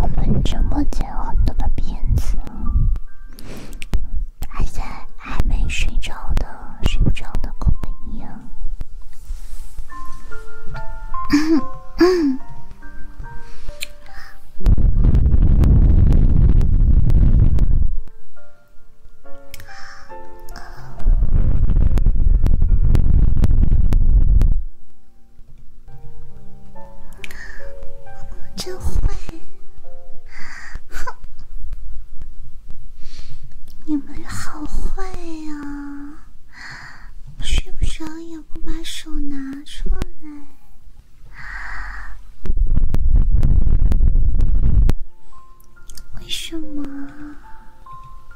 我们直播间很多的片子，还在还没睡着的、睡不着的朋友们。真坏，哼！你们好坏呀，睡不着也不把手拿出来，为什么？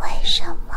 为什么？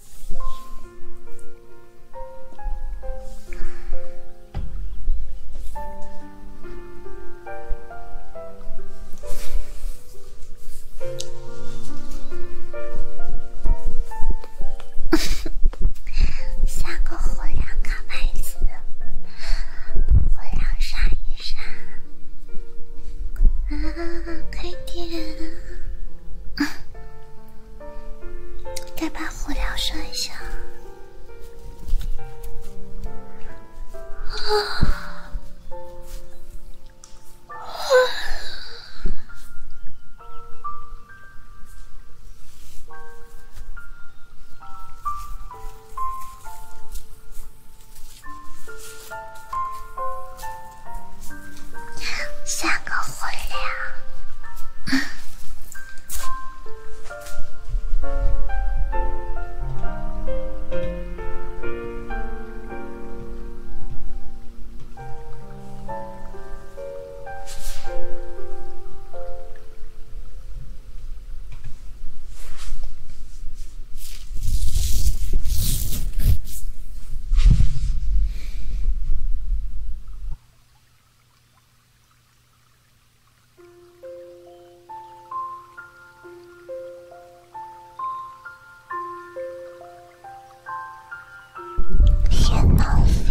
三 个火，两个白子，火两杀一杀。啊，可以。点啊！再把火疗升一下。啊！三个混蛋。雁南飞。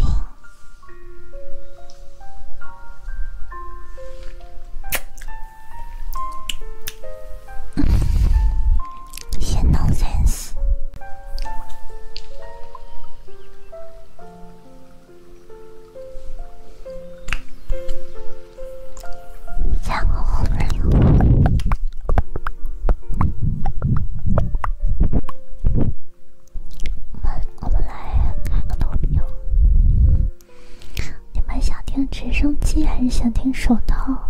先弄粉丝，加个红人。我们我们来开个投票，你们想听直升机还是想听手套？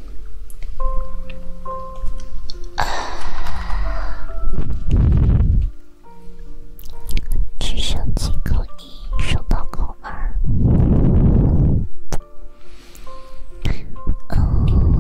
只剩几个，一，收到扣二。哦，哦。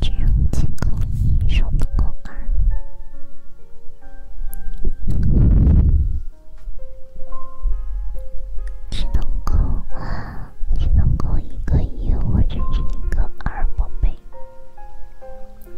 只有几个，你说不够啊？只能够，只能够一个一，或者是一个二，宝贝。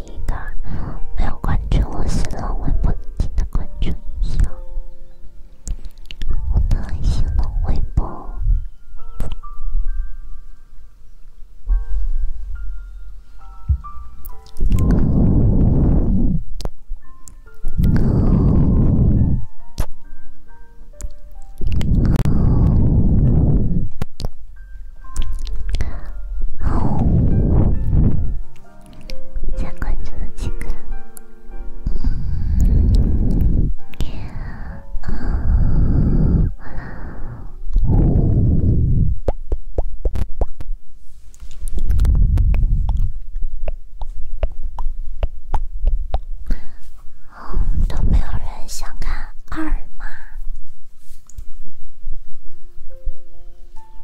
一个没有关注我新浪微博，请的关注一下我的新浪微博。哦，再关注几个。嗯，都没有人想看二吗？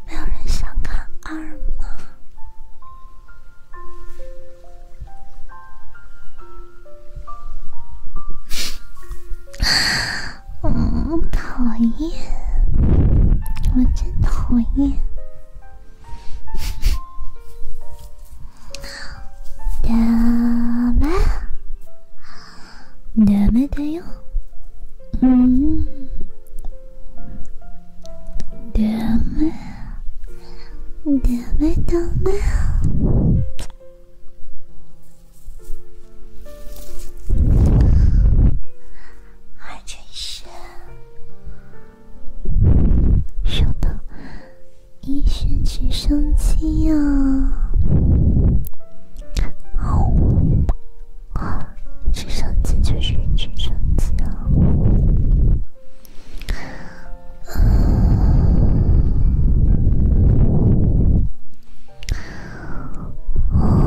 没有人想看二吗？嗯，讨厌，我真的讨厌。好，拜ダメだよ。嗯，ダメ，ダメ，ダメ。还真是，说到医学直升机呀。啊，直升机就是直升机啊！啊！啊！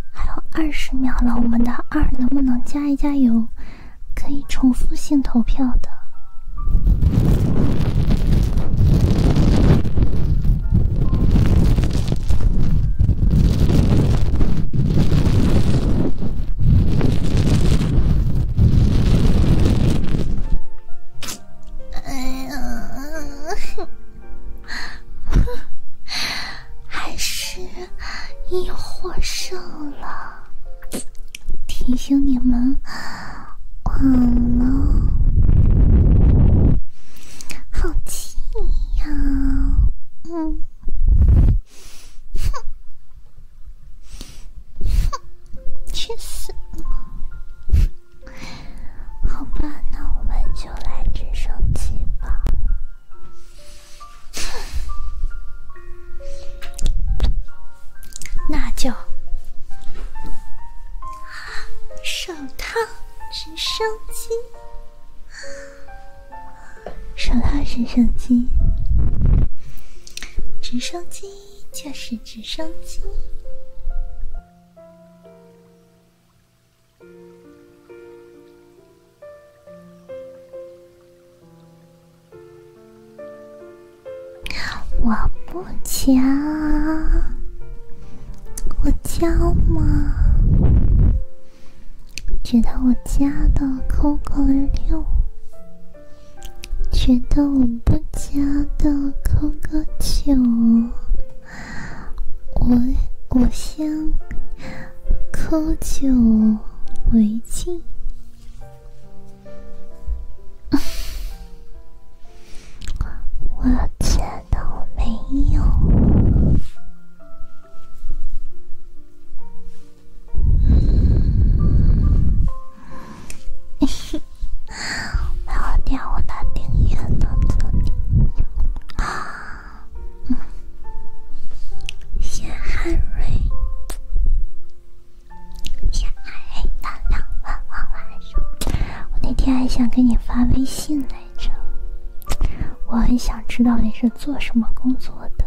还有二十秒了，我们的二能不能加一加油？可以重复性投票的。哎呀！还是你获胜了。提醒你们，晚了，好气呀！嗯，去死好吧，那我们就来直升机吧。那就手套直升机，手套直升机，直升机就是直升机。我不加，我加吗？觉得我加的扣个六，觉得我不加的扣个九。我我先磕酒为敬，我觉得我没有。我 我的订阅了，真的啊。嗯，谢汉瑞，谢海亮，晚上晚上。我那天还想给你发微信来着，我很想知道你是做什么工作的。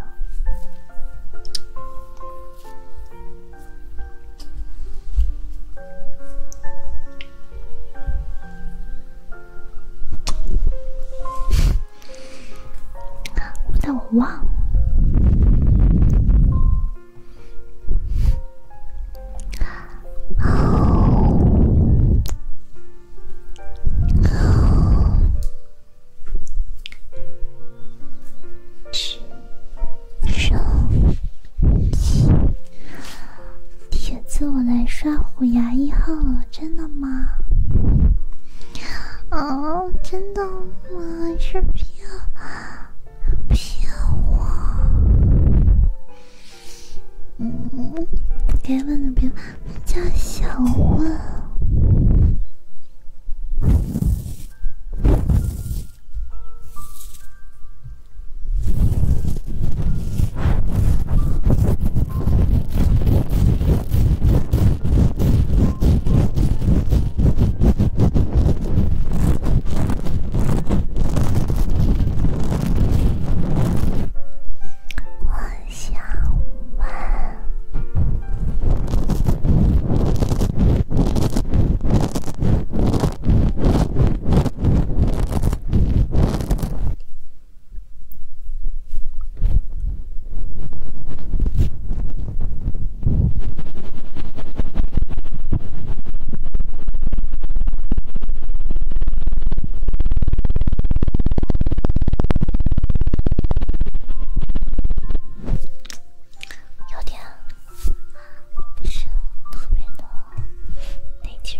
但我忘了。好，好，铁子，我来刷虎牙一号了，真的吗？哦，真的吗？是骗骗我？嗯，该问的别问，叫小问。我想问。有点不是特别的内劲。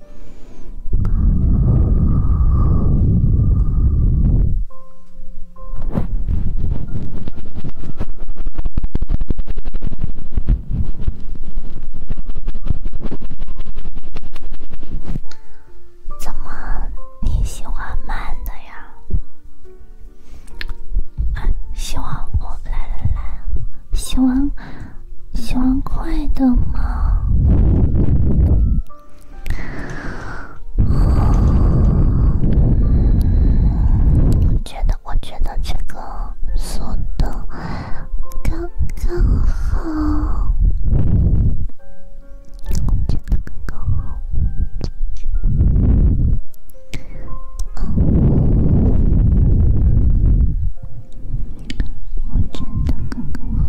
怎么你喜欢慢的呀？希望我来来来，喜欢喜欢快的吗？哦，觉得我觉得这个速度刚刚好，我觉得刚刚好。哦。我觉得刚刚好。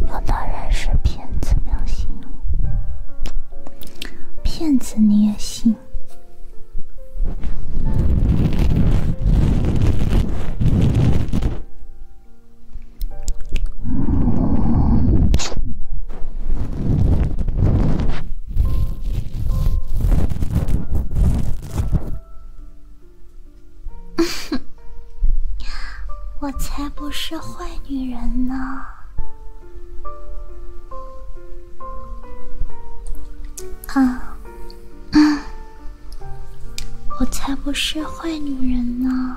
有的人是骗子，标心。骗子你也信？我才不是坏女人呢！啊，我才不是坏女人呢！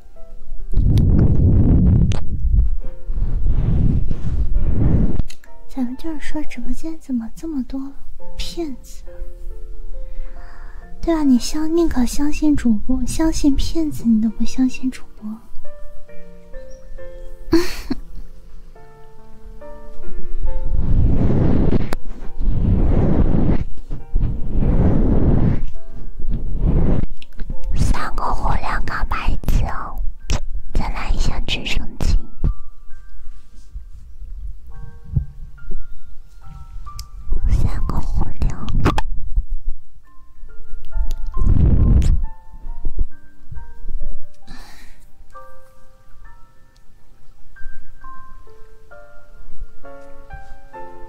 咱们就是说，直播间怎么这么多骗子？对啊，你相宁可相信主播，相信骗子，你都不相信主播。三个火两个白酒，哦，再来一下直升机，三个火两。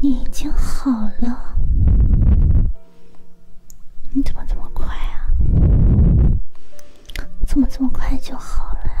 你已经好了？你怎么这么快啊？怎么这么快就好了呀？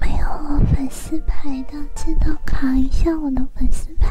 没有粉丝牌的，记得卡一下我的粉丝牌。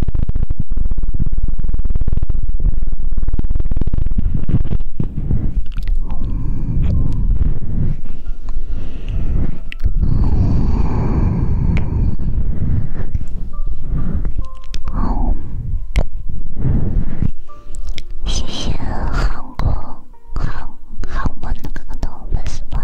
谢谢韩国航航班的粉丝们。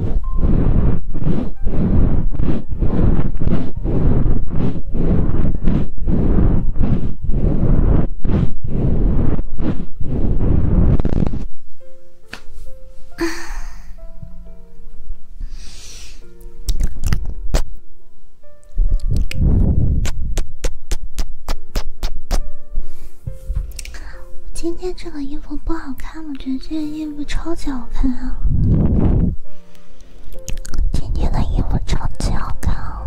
今天这个衣服不好看。他们觉得这件衣服超级好看啊！今天的衣服超级好看啊！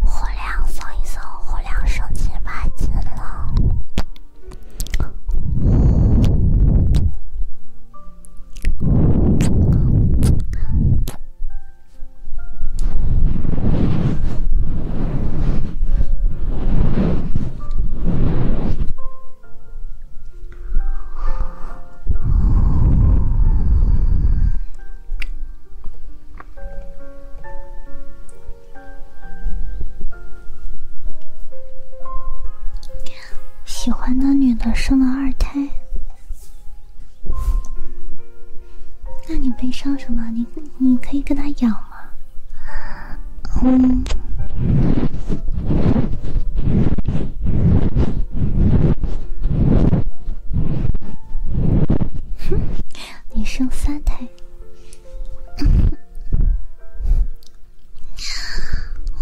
火量送一送，火量升级八级了。喜欢的女的生了二胎。那你悲伤什么？你你可以跟他咬吗？嗯。你生三胎？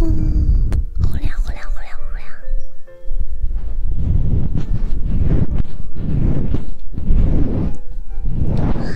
嗯。胡聊胡聊胡聊胡聊。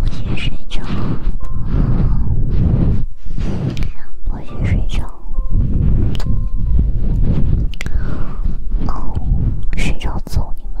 不去睡觉，不去睡觉，睡觉走你们。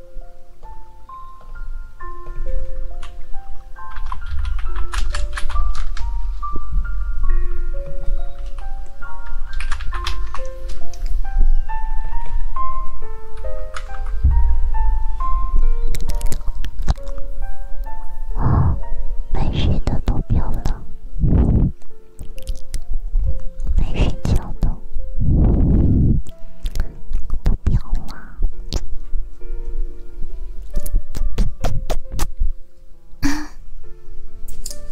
啊，没睡的都别了，没睡觉的。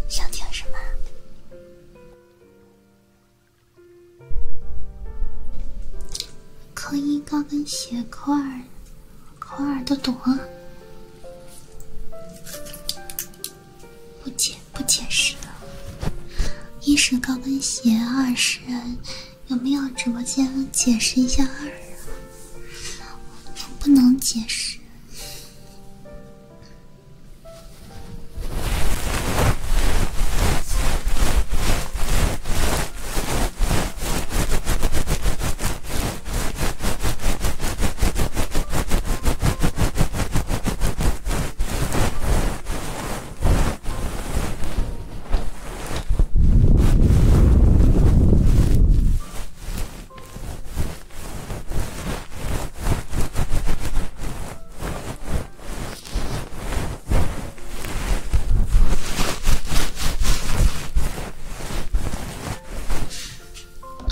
想听什么？扣 一高跟鞋，扣二，扣二都懂。不解不解释。一是高跟鞋，二是。有没有直播间解释一下二啊？我不能解释。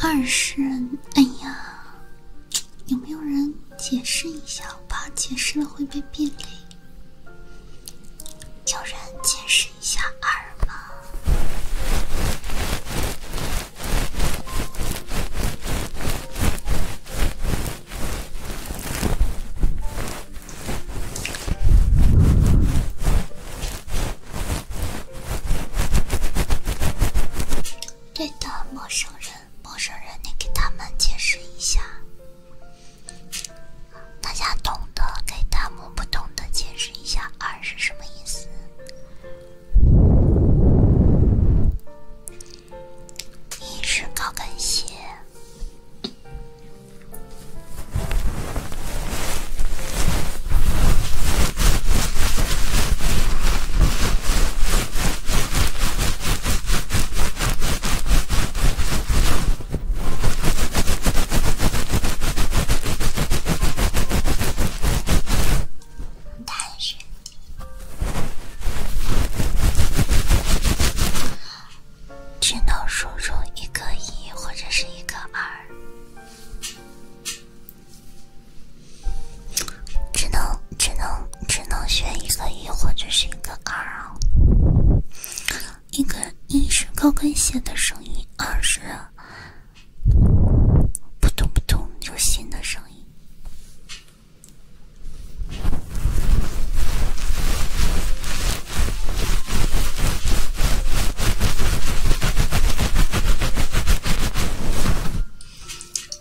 二十人，哎呀，有没有人解释一下？我怕解释了会被变脸。有人解释一下二吗？对的，陌生人，陌生人，你给他们解释一下。大家懂得给弹幕不懂的解释一下“二”是什么意思？一是高跟鞋。但是，只能输入一个一或者是一个二，只能只能只能选一个一或者是一个二。一个一是高跟鞋的声音，二是扑通扑通，就新心的声音。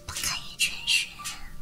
不可以全选。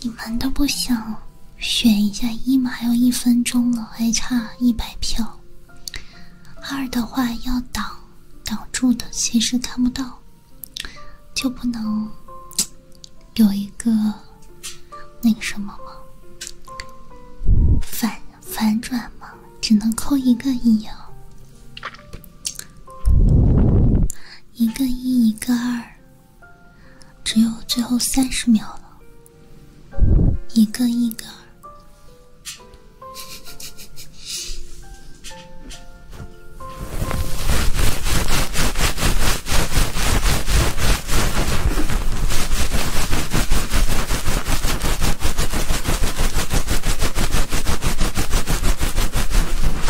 你们都不想选一下一吗？还有一分钟了，还差一百票。二的话要挡挡住的，其实看不到，就不能有一个那个什么吗？反反转吗？只能扣一个一啊，一个一，一个二。只有最后三十秒了，一个一个。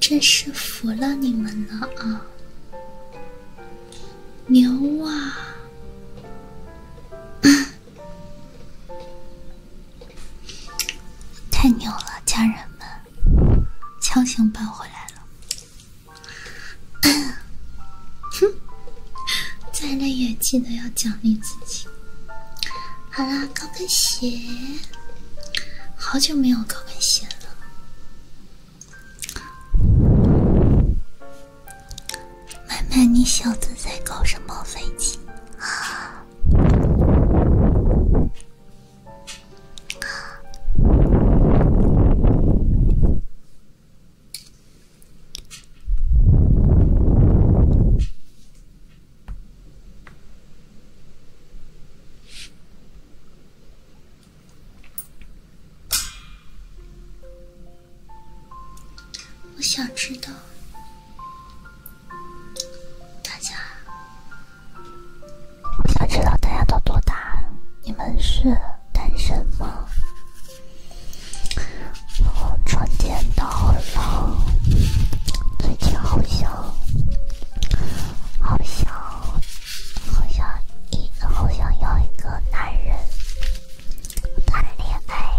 真是服了你们了啊！牛啊！太牛了，家人们，强行搬回来了。哼，再累也记得要奖励自己。好啦，高跟鞋，好久没有高跟鞋了。妹妹，你小子在搞什么飞机啊？我想知道大家，我想知道大家都多大？你们是单身吗？我传简到了，最近好像。好想，好想一，好想要一个男人谈恋爱。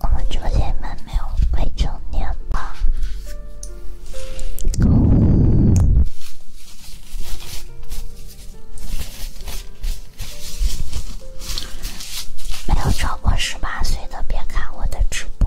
我们直播间没有未成年吧？没有超过十八岁的，别看我的直播。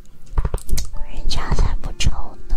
人家才不抽呢。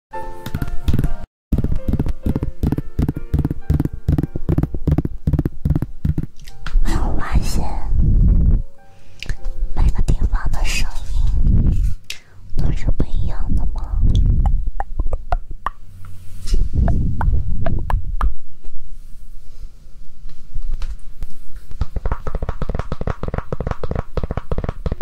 我发现每个地方的声音都是不一样的吗？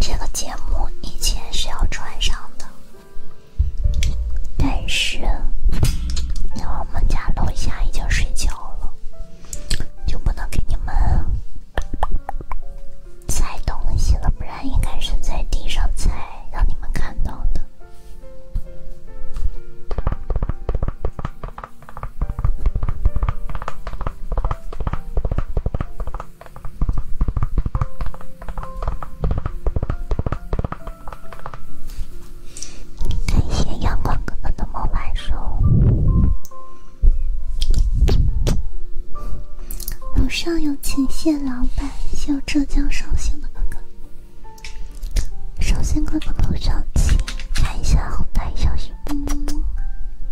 这个节目以前是要穿上的，但是因为我们家楼下已经睡觉了，就不能给你们。踩东西了，不然应该是在地上踩，让你们看到的。感谢阳光哥哥的魔晚手。楼上有前线老板，有浙江绍兴的哥哥，首先，哥哥楼上请看一下后台消息，么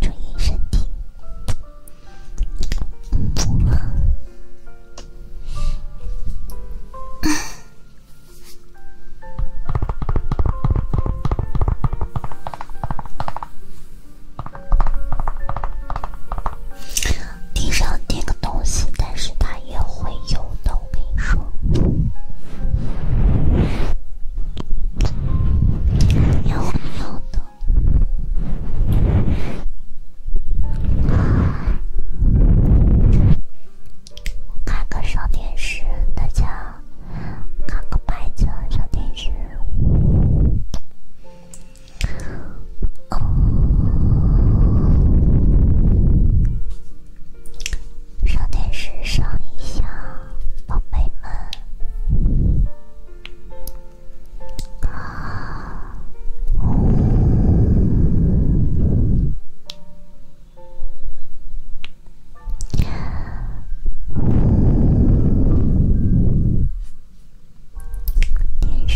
注意身体。地上垫个东西，但是它也会有的。我跟你说，有有的。我开个上电视，大家。看个牌子，上电视，哦，上电视上一下，宝贝们。电视。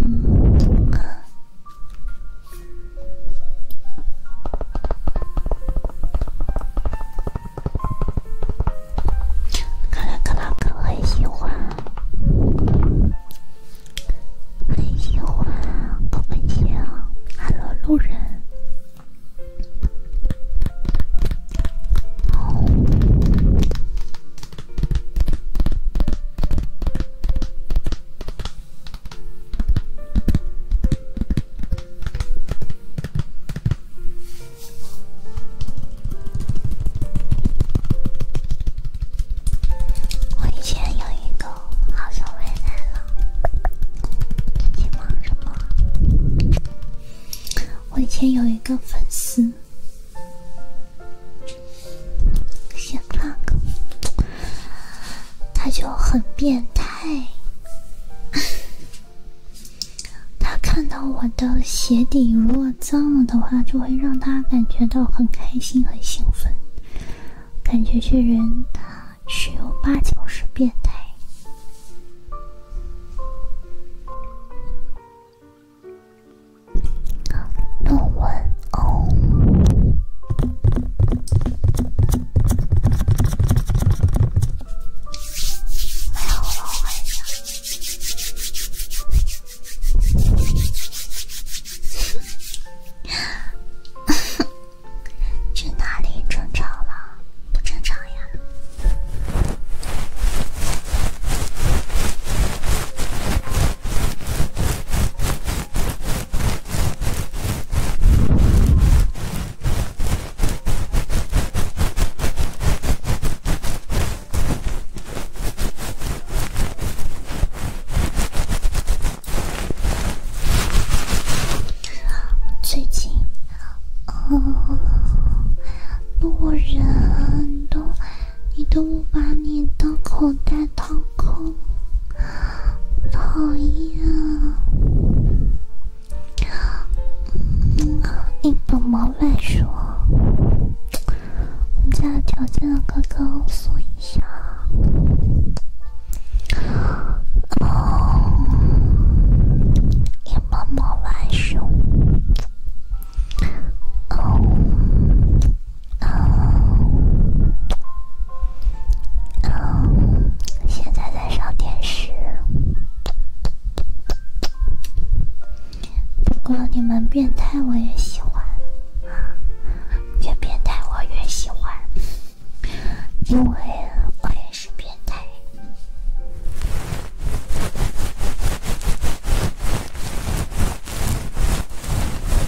嗯，看来克拉克很喜欢，很喜欢高跟鞋啊！哈喽，路人。我以前有一个，好像没来了。最近忙什么？我以前有一个粉丝。行了，他就很变态。他看到我的鞋底如果脏了的话，就会让他感觉到很开心、很兴奋。感觉这人他十有八九是变态。论文哦，没有了，回呀。去哪里正常了？不正常呀。最近，嗯，不人都。你都不把你的口袋掏空，讨厌！嗯，一本毛乱说。我们家条件的哥哥说一下，哦，一本毛乱说，哦。嗯，嗯，现在在上电视。不过你们变态我也喜欢啊，越变态我越喜欢，因为我也是变态。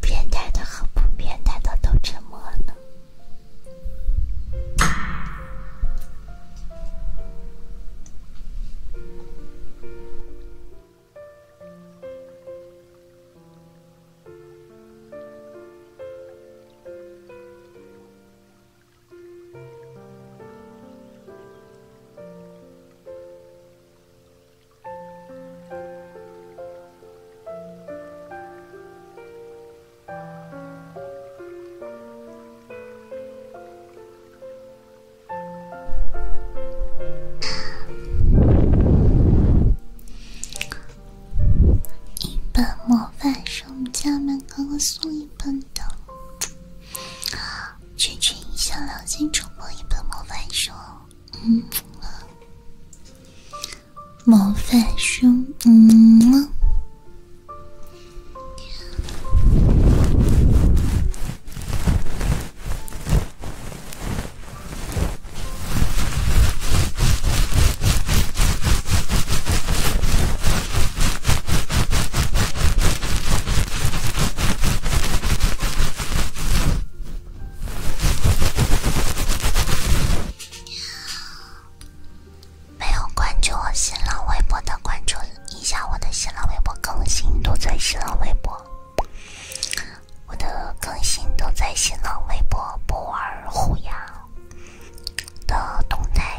变态的和不变态的都沉默了。一包馍饭是家门哥送笨的，只只一下，良心触摸一本魔法书，嗯，魔法书，嗯。没有关注我新浪微博的，关注一下我的新浪微博更新，都在新浪微博。我的更新都在新浪微博，不玩虎牙的动态。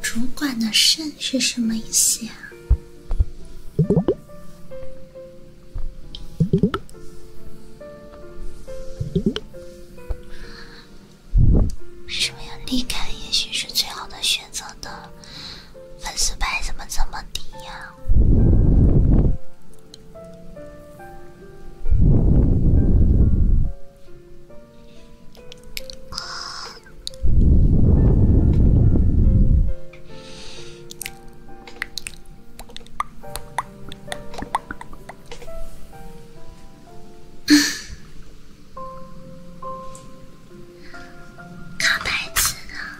主管的肾是什么意思呀？为什么要离开？也许是最好的选择的。粉丝牌怎么这么低呀？卡牌子呢？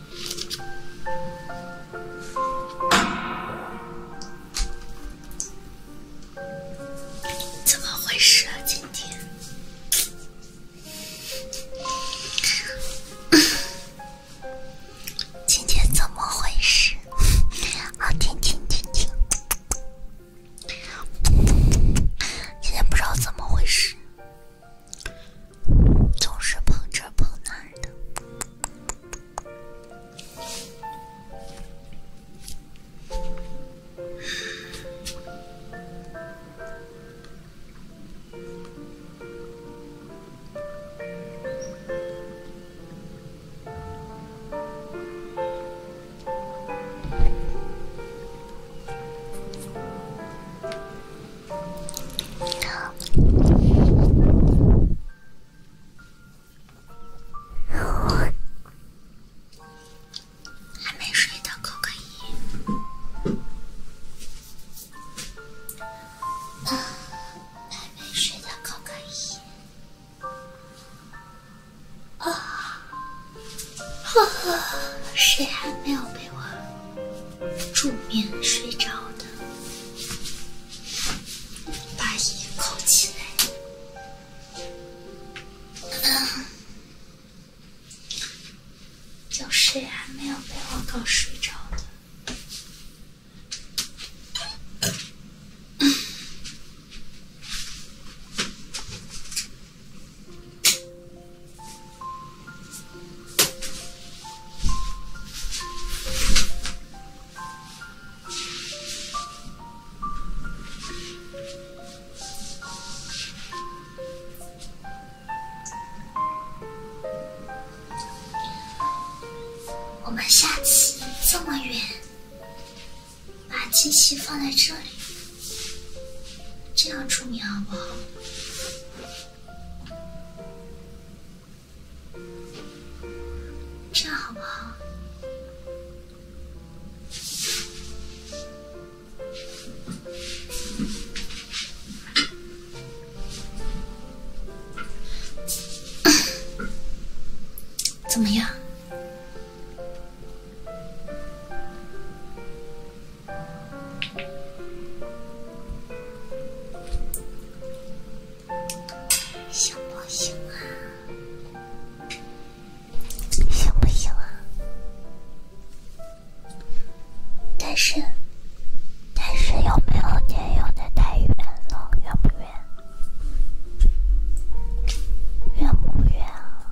怎么回事啊？今天，今天怎么回事？好，听听听听，今天不知道怎么回事。总是碰这碰那儿的。还没睡的扣个一，还没睡的扣个一，啊，啊，谁还没有被我？助眠睡着的，把衣扣起来。啊，有谁还没有被我搞睡着的？我们下次这么远，把机器放在这里，这样出名好不好？这样好不好？怎么样？行不行啊？行不行啊？但是，但是有没有点有点太远了，远不远？远不远啊？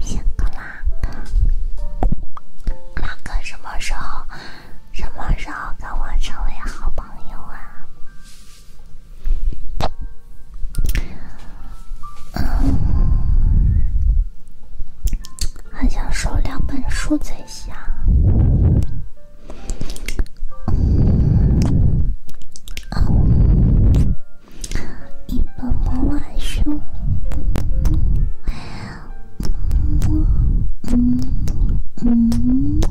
辛苦克拉克，什么时候，什么时候跟我成为好朋友啊？嗯，还想收两本书再下。嗯，嗯，一本魔法书。嗯嗯嗯。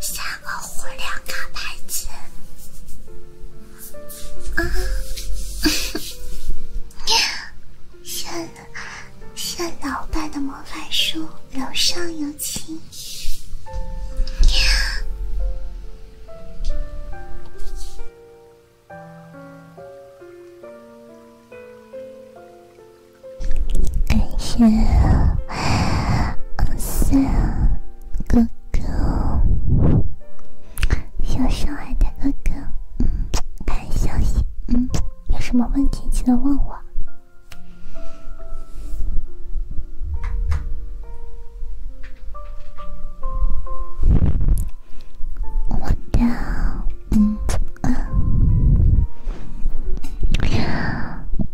三个互两个牌子啊！谢谢老板的魔法书，楼上有请。感谢，嗯，是。哥哥，小上海的哥哥，嗯，看消息，嗯，有什么问题记得问我。我的，嗯，嗯。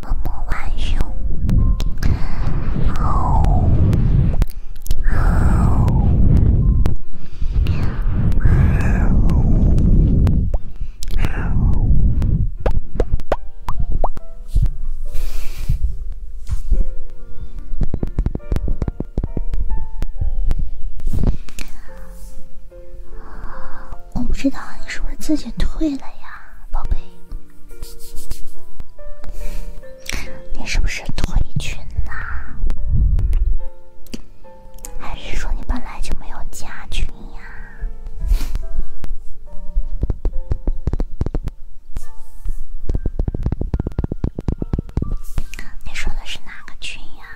默默挽手。啊，我不知道你是不是自己退了呀，宝贝。你是不是退群啦？还是说你本来就没有加群呀？你说的是哪个群呀？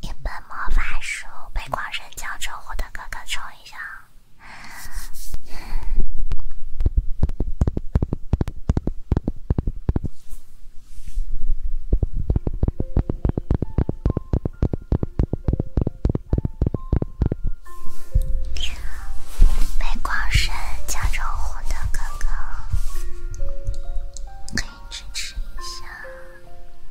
一本魔法书被狂人教授获的哥哥抽。意。一下，美光神加州虎的哥哥，可以支持一下。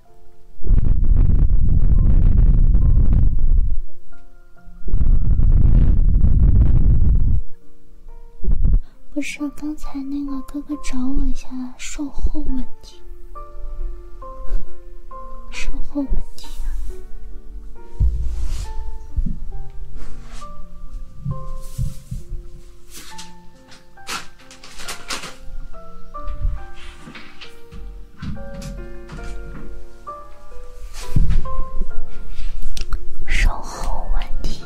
不是，刚才那个哥哥找我一下售后问题，售后问题。售后问题。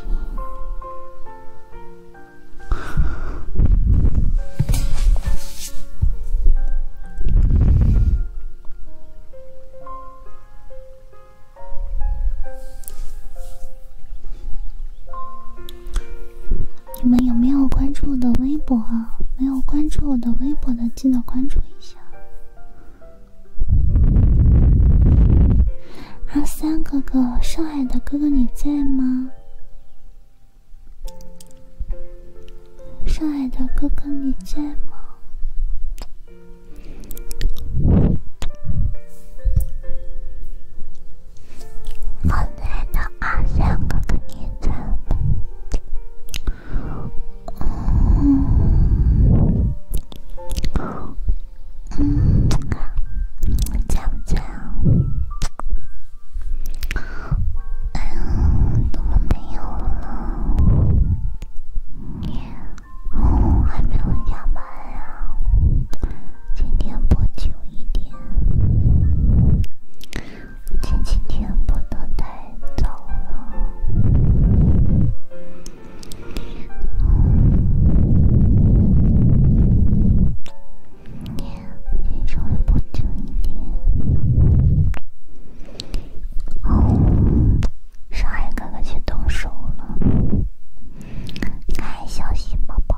你们有没有关注我的微博啊？没有关注我的微博的，记得关注一下。阿三哥哥，上海的哥哥你在吗？上海的哥哥你在吗？刚才的阿香可认真吗？嗯，嗯，咋不讲？哎呀，怎么没有了？哦，还没有下班呀？今天播久一点。前几天播的太早了，今天稍微播久一点。上海哥哥去动手了，爱小心，宝宝。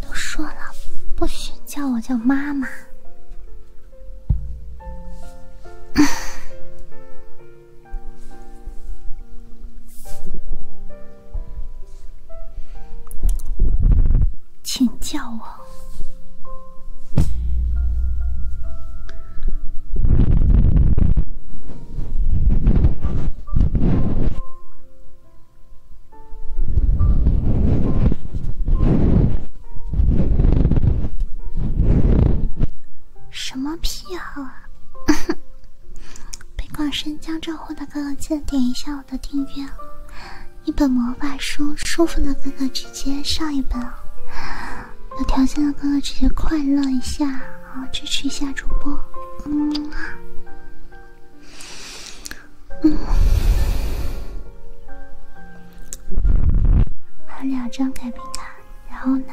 都说了，不许叫我叫妈妈，请叫我。什么癖好啊！被广深江浙沪的哥哥记得点一下我的订阅。一本魔法书，舒服的哥哥直接上一本，有条件的哥哥直接快乐一下。好，支持一下主播。嗯，嗯，还有两张改名卡，然后呢？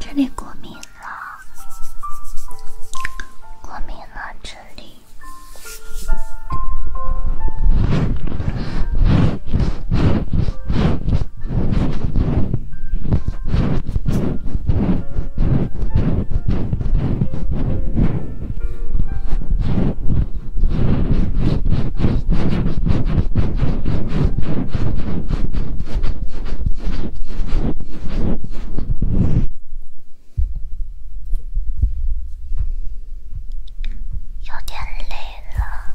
这里过敏了，过敏了这里。有点累了。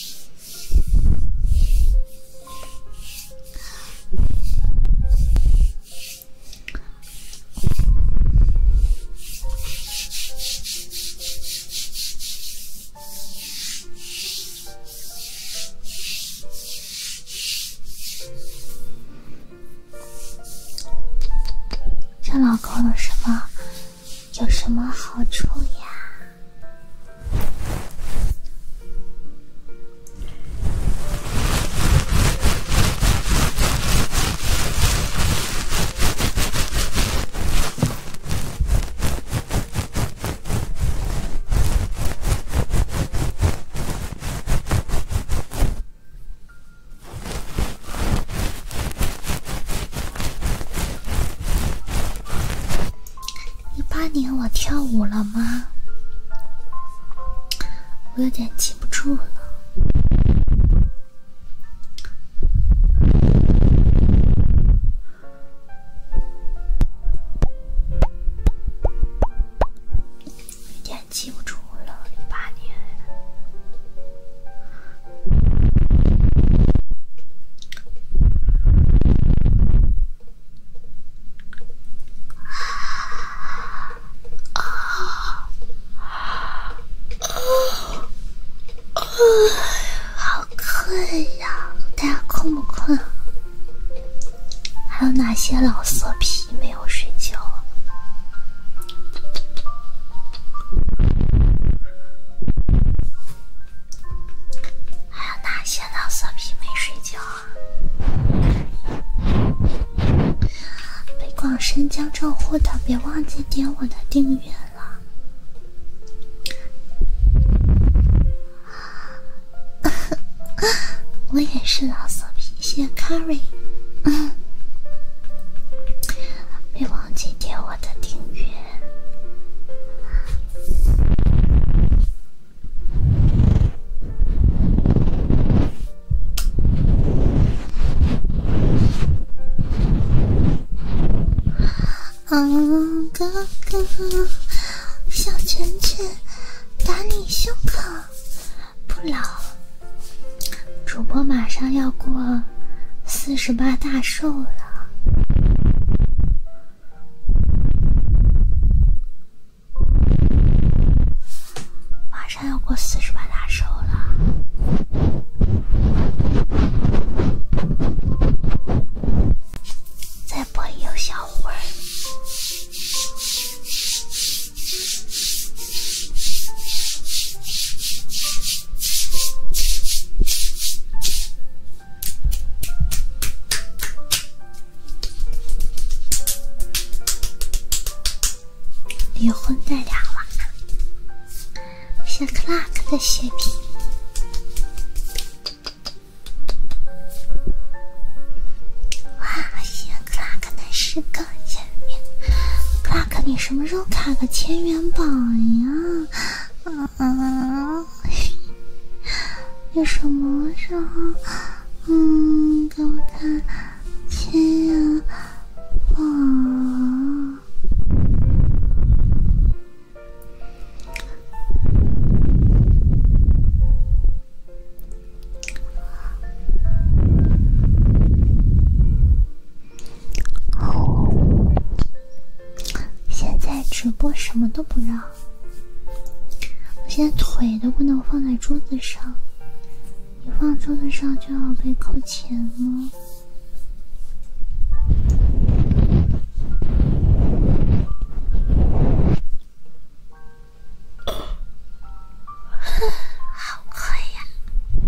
叫老公了是吗？有什么好处呀？一八年我跳舞了吗？我有点记不住了，记不住了，一八年。啊啊啊！好困呀，大家困不困？还有哪些老色批没有睡觉？还有哪些老色皮没睡觉？的，别忘记点我的订阅了。我也是老色皮，谢 carry。别忘记点我。我的订阅，嗯，哥哥，小拳拳打你胸口，不老主播马上要过。四十八大寿了，马上要过四十八大寿了，再播一小会儿。离婚带俩娃，谢克拉克的血瓶。哇，的你什么时候卡个千元榜呀？啊，你什么时候，嗯，给我看亲啊？现在直播什么都不让，我现在腿都不能放在桌子上，一放桌子上就要被扣钱了。好快呀！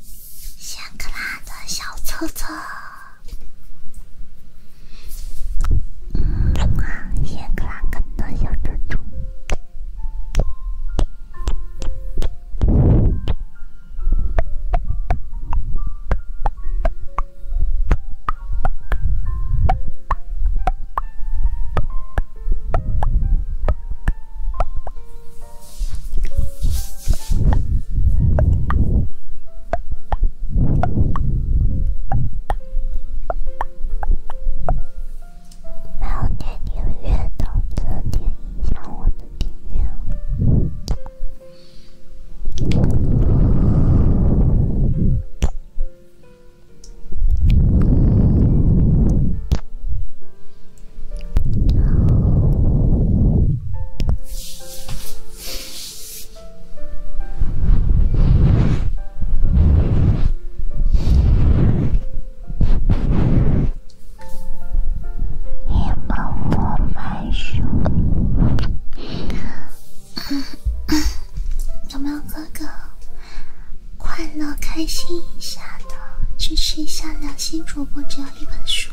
谢克拉的小车车，嗯谢克拉跟的小珍珠。没有点音乐的，再点一下我的订阅。你帮我买手，有没有哥哥？快乐开心一下。支持一下良心主播，只要一本书。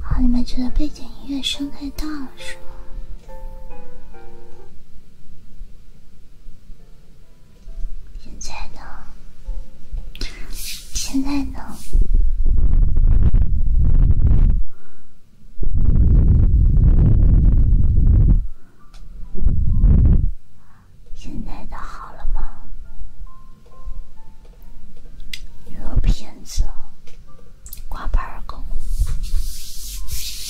啊，你们觉得背景音乐声太大了，是吗？现在呢？现在呢？现在的好了吗？你个骗子，挂牌儿狗！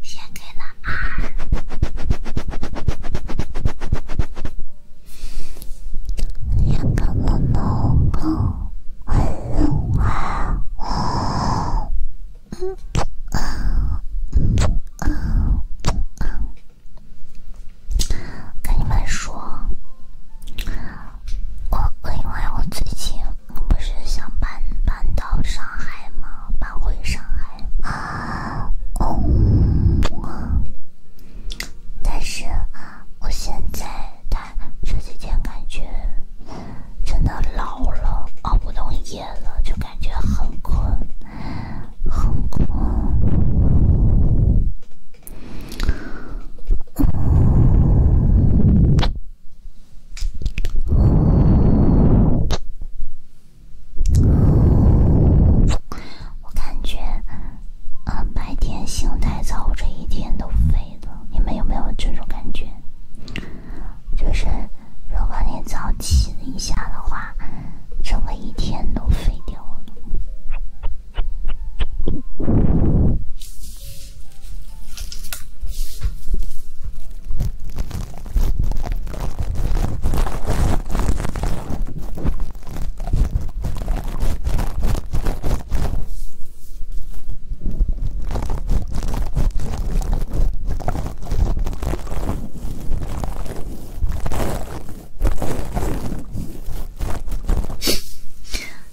先给了二，要不我弄个。跟你们说，我因为我最近不是想搬搬到上海吗？搬回上海啊！但是我现在这几天感觉真的老了，熬不动夜了，就感觉很困，很困。我感觉啊，白天醒太早，这一天都废。你们有没有这种感觉？就是如果你早起一下的话，整个一天都废掉了。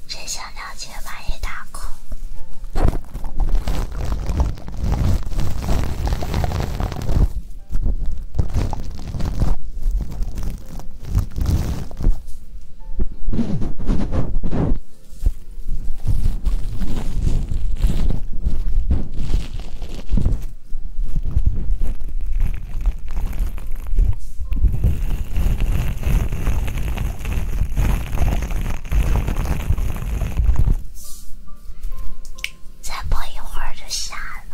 真想了解万一打空。再播一会儿就下了。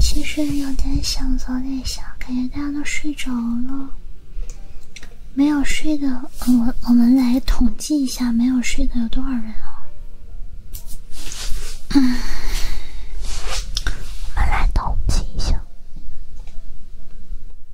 其实有点想早点下，感觉大家都睡着了。没有睡的，我我们来统计一下没有睡的有多少人啊？嗯，我们来统计一下。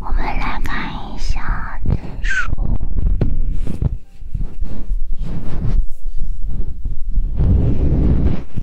我们来看一下指数。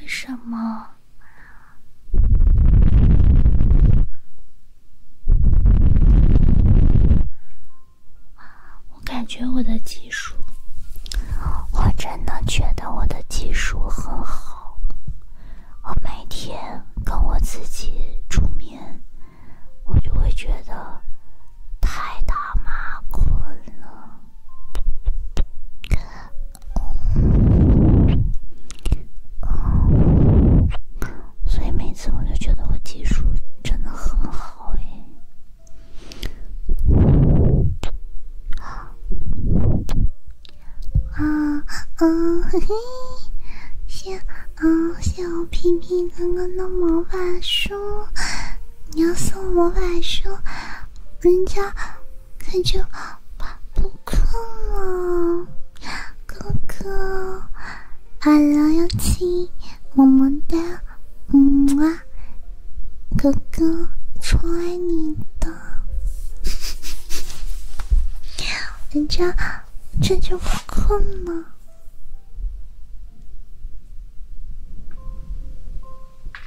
为什么？我感觉我的技术，我真的觉得我的技术很好。我每天跟我自己助眠，我就会觉得太他妈困了。哦，所以每次我就觉得我技术真的很好诶。啊，嗯，谢，嗯，谢我平平哥哥的魔法书，你要送魔法书，人家。可就不困了，哥哥，阿拉要亲，么么哒，么么，哥哥，超爱你的，人家这就不困了。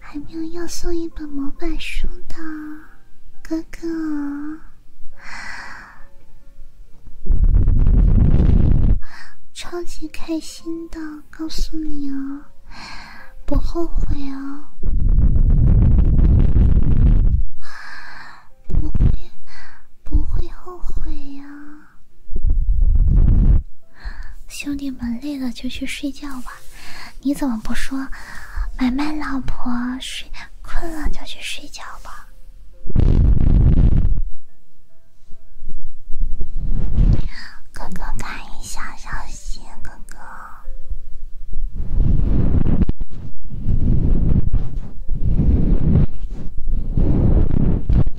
还没有要送一本魔法书的哥哥，超级开心的告诉你哦，不后悔哦，不会不会后悔呀。兄弟们累了就去睡觉吧，你怎么不说？买卖老婆睡困了就去睡觉吧。哥哥看一下小心哥哥。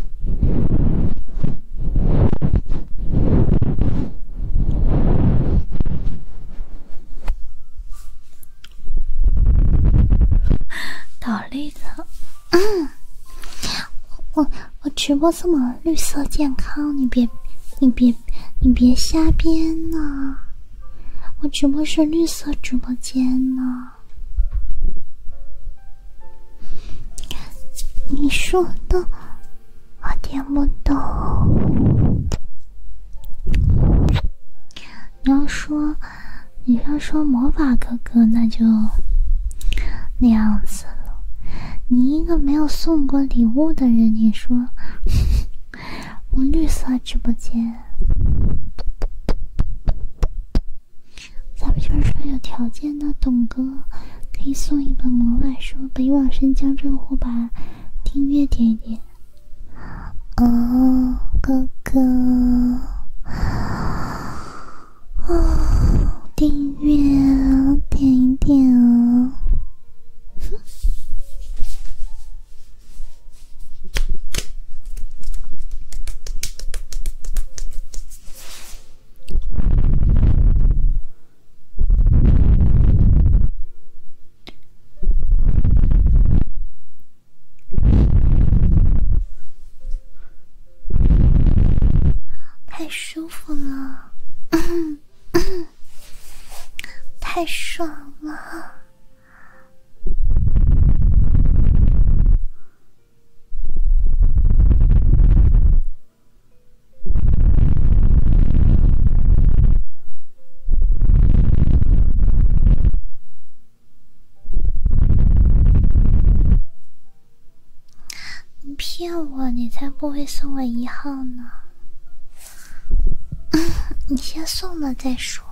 倒立了，嗯，我我直播这么绿色健康，你别你别你别瞎编呢，我直播是绿色直播间呢。你说的我听不懂。你要说你要说魔法哥哥，那就那样子了。你一个没有送过礼物的人，你说 我绿色直播间。咱们就是说，有条件的董哥可以送一本魔法书《北往深江浙沪》吧，订阅点一点。哦，哥哥，哦，订阅点一点哦。太舒服了，太爽了。你骗我，你才不会送我一号呢！你先送了再说，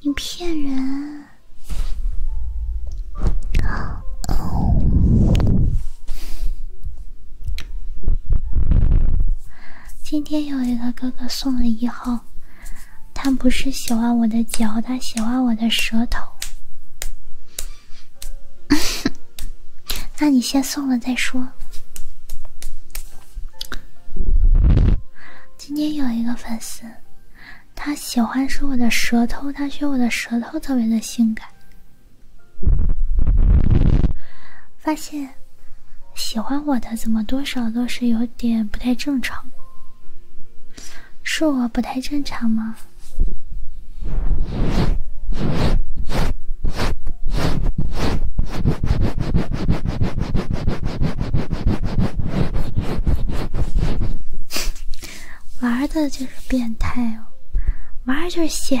你骗人。今天有一个哥哥送了一号，他不是喜欢我的脚，他喜欢我的舌头。那你先送了再说。今天有一个粉丝。他喜欢是我的舌头，他觉得我的舌头特别的性感。发现喜欢我的怎么多少都是有点不太正常，是我不太正常吗？玩的就是变态哦，玩就是险。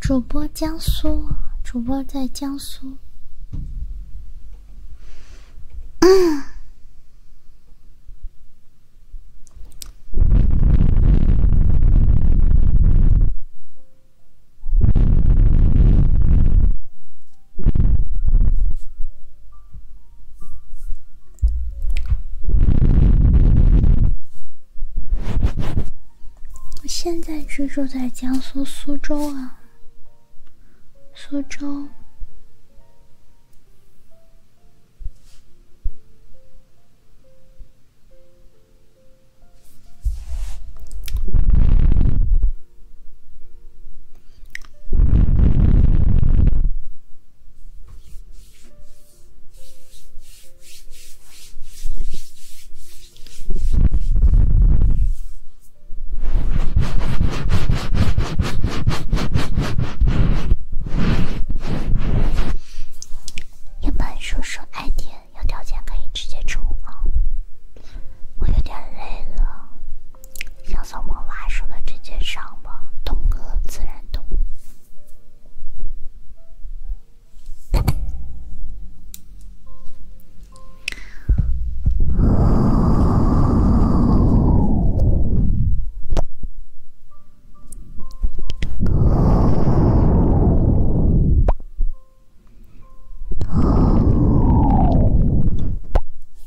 主播江苏，主播在江苏。我现在居住在江苏苏州啊，苏州。一般说说爱点有条件可以直接冲啊。我有点累了。小草莫挖，受了这些伤吧，懂个自然懂。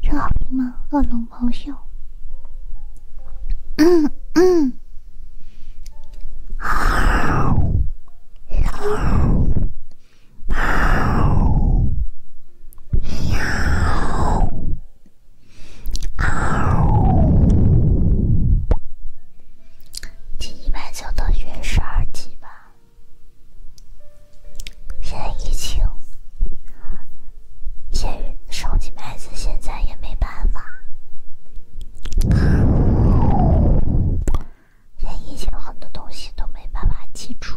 这好听吗？恶龙咆哮。嗯嗯。好。好。好。好。第一百九到第十二级吧。现在疫情，这升级牌子现在也没办法。现在疫情，很多东西都没办法记住。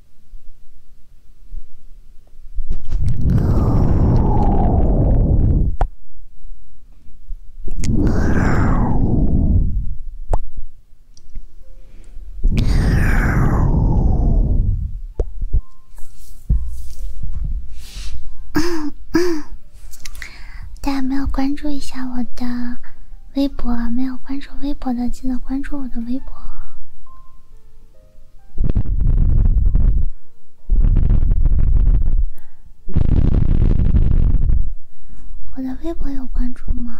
大家没有关注一下我的微博，没有关注微博的记得关注我的微博。我的微博有关注吗？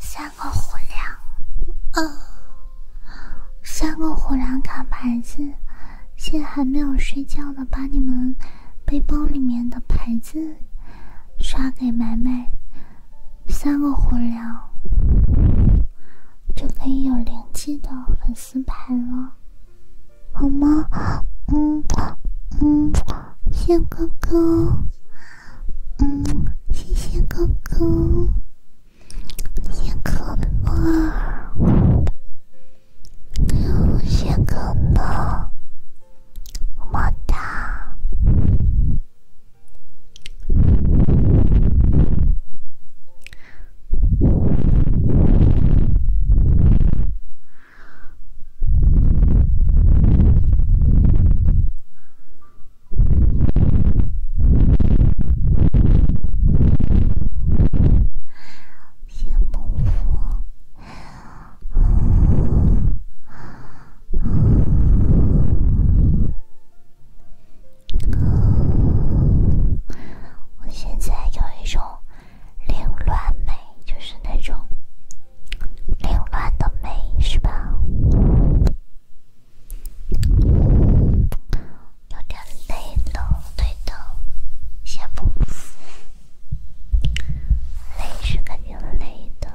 三个火粮，三个虎粮卡牌子，现在还没有睡觉呢，把你们背包里面的牌子。刷给买卖三个火粮，就可以有灵机的粉丝牌了，好吗？嗯嗯，谢哥哥，嗯，谢谢哥哥，谢哥哥，谢哥哥。么哒，羡慕我。我现在有一种凌乱美，就是那种凌乱的美，是吧？有点累了，累的，先不累，是肯定累的。